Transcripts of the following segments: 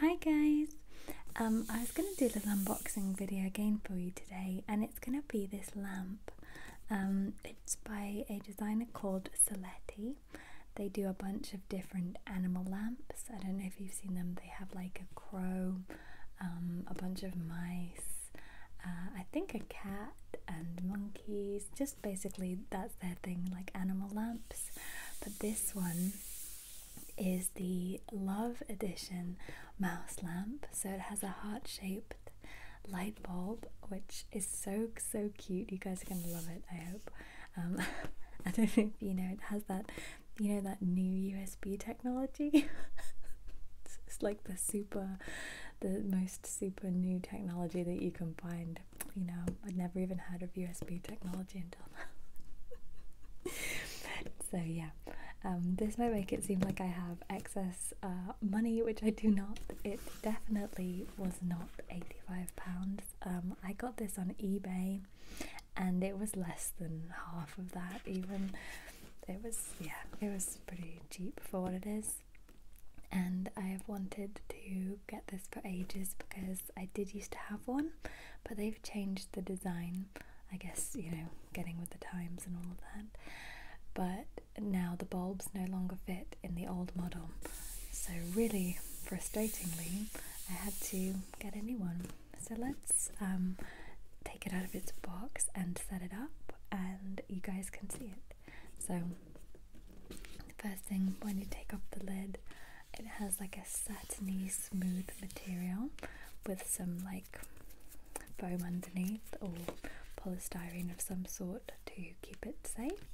Hi guys! Um, I was going to do a unboxing video again for you today and it's going to be this lamp. Um, it's by a designer called Saletti. They do a bunch of different animal lamps. I don't know if you've seen them. They have like a crow, um, a bunch of mice, uh, I think a cat and monkeys, just basically that's their thing, like animal lamps. But this one is the Love Edition mouse lamp, so it has a heart shaped light bulb, which is so so cute. You guys are gonna love it, I hope. Um, I don't know if you know it has that, you know that new USB technology. it's like the super, the most super new technology that you can find you know, I'd never even heard of USB technology until now. so yeah, um, this might make it seem like I have excess uh, money, which I do not. It definitely was not eighty-five pounds. Um, I got this on eBay, and it was less than half of that even. It was yeah, it was pretty cheap for what it is and I have wanted to get this for ages because I did used to have one but they've changed the design I guess you know getting with the times and all of that but now the bulbs no longer fit in the old model so really frustratingly I had to get a new one so let's um, take it out of its box and set it up and you guys can see it so, the first thing when you take off the lid, it has like a satiny smooth material with some like foam underneath or polystyrene of some sort to keep it safe.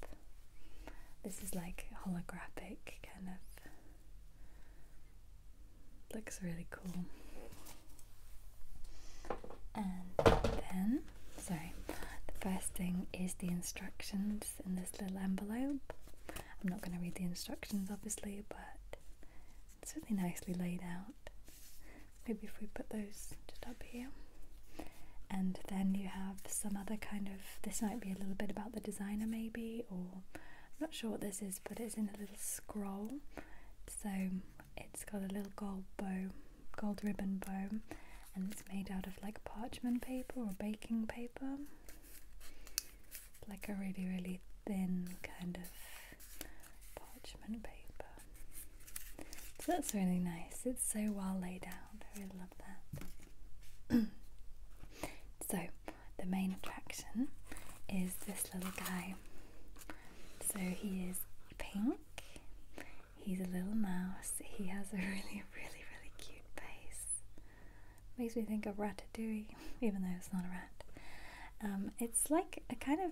This is like holographic kind of looks really cool. And then so, the first thing is the instructions in this little envelope. I'm not going to read the instructions obviously, but it's really nicely laid out. Maybe if we put those just up here. And then you have some other kind of, this might be a little bit about the designer maybe, or I'm not sure what this is, but it's in a little scroll. So it's got a little gold bow gold ribbon bow and it's made out of like parchment paper or baking paper like a really really thin kind of parchment paper so that's really nice it's so well laid out I really love that so the main attraction is this little guy so he is pink He's a little mouse. He has a really, really, really cute face. Makes me think of Ratatouille, even though it's not a rat. Um, it's like a kind of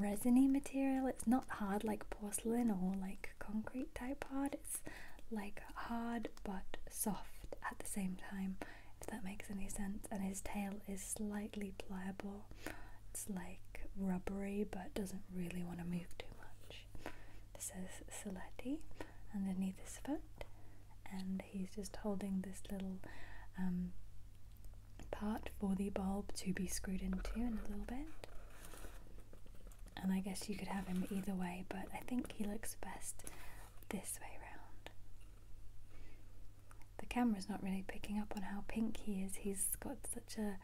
resiny material. It's not hard like porcelain or like concrete type hard. It's like hard but soft at the same time, if that makes any sense. And his tail is slightly pliable it's like rubbery but doesn't really want to move too much. This is Saletti underneath his foot, and he's just holding this little um, part for the bulb to be screwed into in a little bit. And I guess you could have him either way, but I think he looks best this way round the camera's not really picking up on how pink he is. He's got such a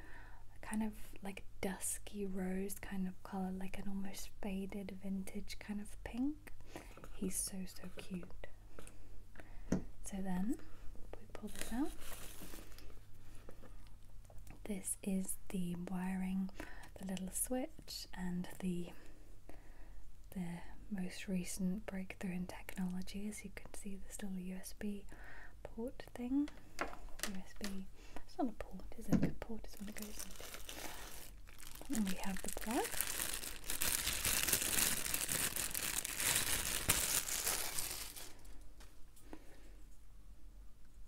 kind of like dusky rose kind of color, like an almost faded vintage kind of pink. He's so, so cute. So then, we pull this out. This is the wiring, the little switch, and the the most recent breakthrough in technology. As you can see, there's still a USB port thing. USB, it's not a port, it is it? A port It's what it goes into. And we have the plug.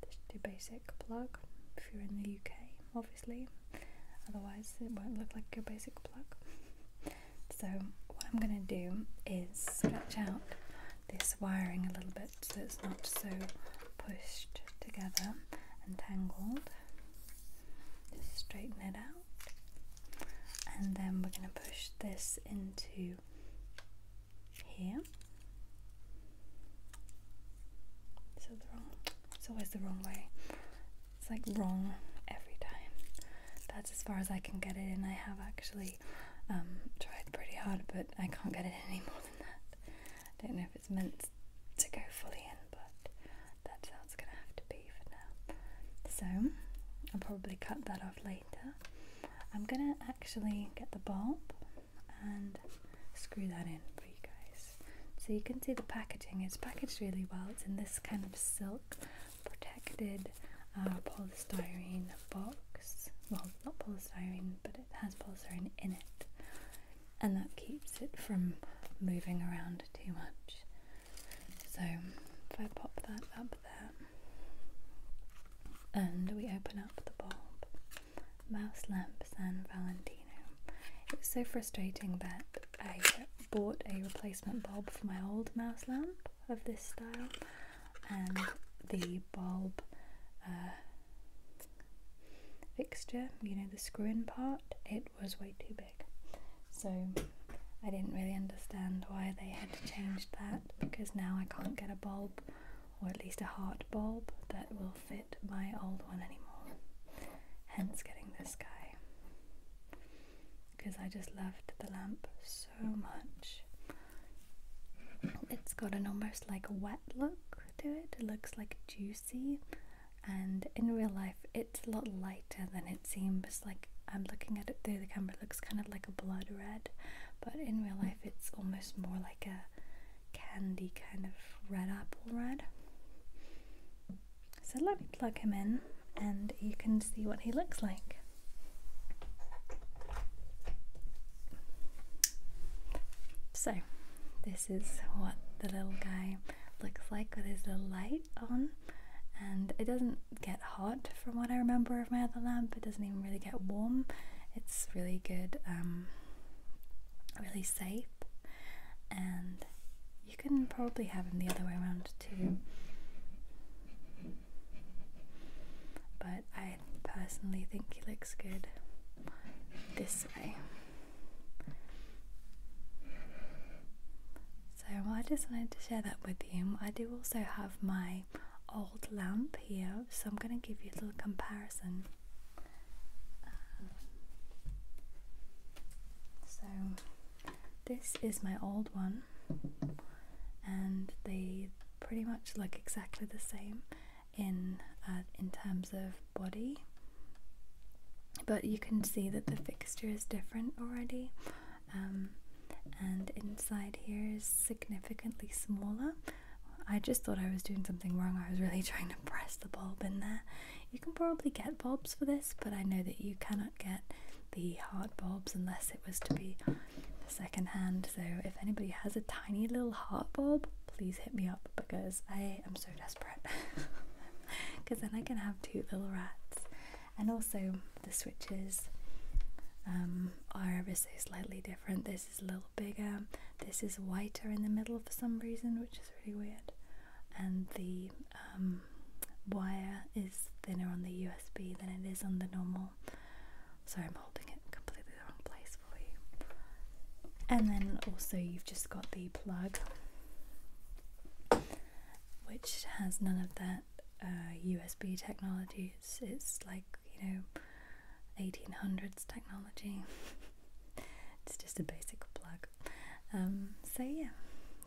Just do basic plug if you're in the UK, obviously. Otherwise, it won't look like your basic plug. So what I'm going to do is stretch out this wiring a little bit so it's not so pushed together and tangled. Just straighten it out. And then we're going to push this into here. it's always the wrong way. It's like wrong every time. That's as far as I can get it in. I have actually um, tried pretty hard, but I can't get it any more than that. I don't know if it's meant to go fully in, but that's how it's going to have to be for now. So I'll probably cut that off later. I'm going to actually get the bulb and screw that in for you guys. So you can see the packaging It's packaged really well. It's in this kind of silk protected uh, polystyrene box. Well, not polystyrene, but it has polystyrene in it. And that keeps it from moving around too much. So if I pop that up there and we open up the bulb. Mouse Lamp San Valentino. It's so frustrating that I bought a replacement bulb for my old mouse lamp of this style, and the bulb uh, fixture, you know, the screw in part, it was way too big. So I didn't really understand why they had changed that because now I can't get a bulb, or at least a heart bulb, that will fit my old one anymore. Hence, getting this guy. Because I just loved the lamp so much. It's got an almost like wet look to it, it looks like juicy. And in real life, it's a lot lighter than it seems. Like I'm looking at it through the camera, it looks kind of like a blood red, but in real life, it's almost more like a candy kind of red apple red. So let me plug him in and you can see what he looks like. So, this is what the little guy looks like with his little light on. And it doesn't get hot from what I remember of my other lamp, it doesn't even really get warm. It's really good um, really safe and you can probably have them the other way around too but I personally think he looks good this way so I just wanted to share that with you I do also have my old lamp here so I'm going to give you a little comparison so this is my old one, and they pretty much look exactly the same in uh, in terms of body, but you can see that the fixture is different already. Um, and inside here is significantly smaller, I just thought I was doing something wrong. I was really trying to press the bulb in there. You can probably get bulbs for this, but I know that you cannot get the heart bulbs unless it was to be second hand. So if anybody has a tiny little heart bulb, please hit me up because I am so desperate. Because then I can have two little rats. And also, the switches um, are ever so slightly different. This little bigger, this is whiter in the middle for some reason, which is really weird, and the um, wire is thinner on the USB than it is on the normal. Sorry, I'm holding it completely the wrong place for you. And then also, you've just got the plug, which has none of that USB uh, technology. it's like, you know, 1800s technology. it's just a basic plug. Um, so yeah,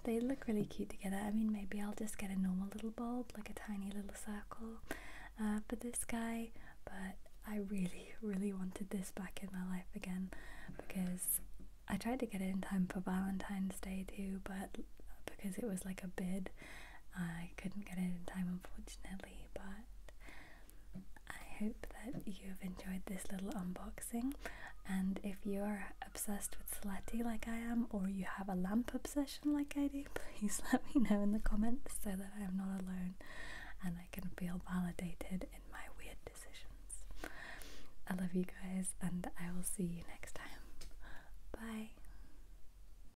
they look really cute together. I mean, maybe I'll just get a normal little bulb, like a tiny little circle uh, for this guy. But I really, really wanted this back in my life again because I tried to get it in time for Valentine's Day too, but because it was like a bid I couldn't get it in time, unfortunately, but I hope that you have enjoyed this little unboxing. And if you are obsessed with Saletti like I am, or you have a lamp obsession like I do, please let me know in the comments so that I am not alone and I can feel validated in my weird decisions. I love you guys, and I will see you next time. Bye.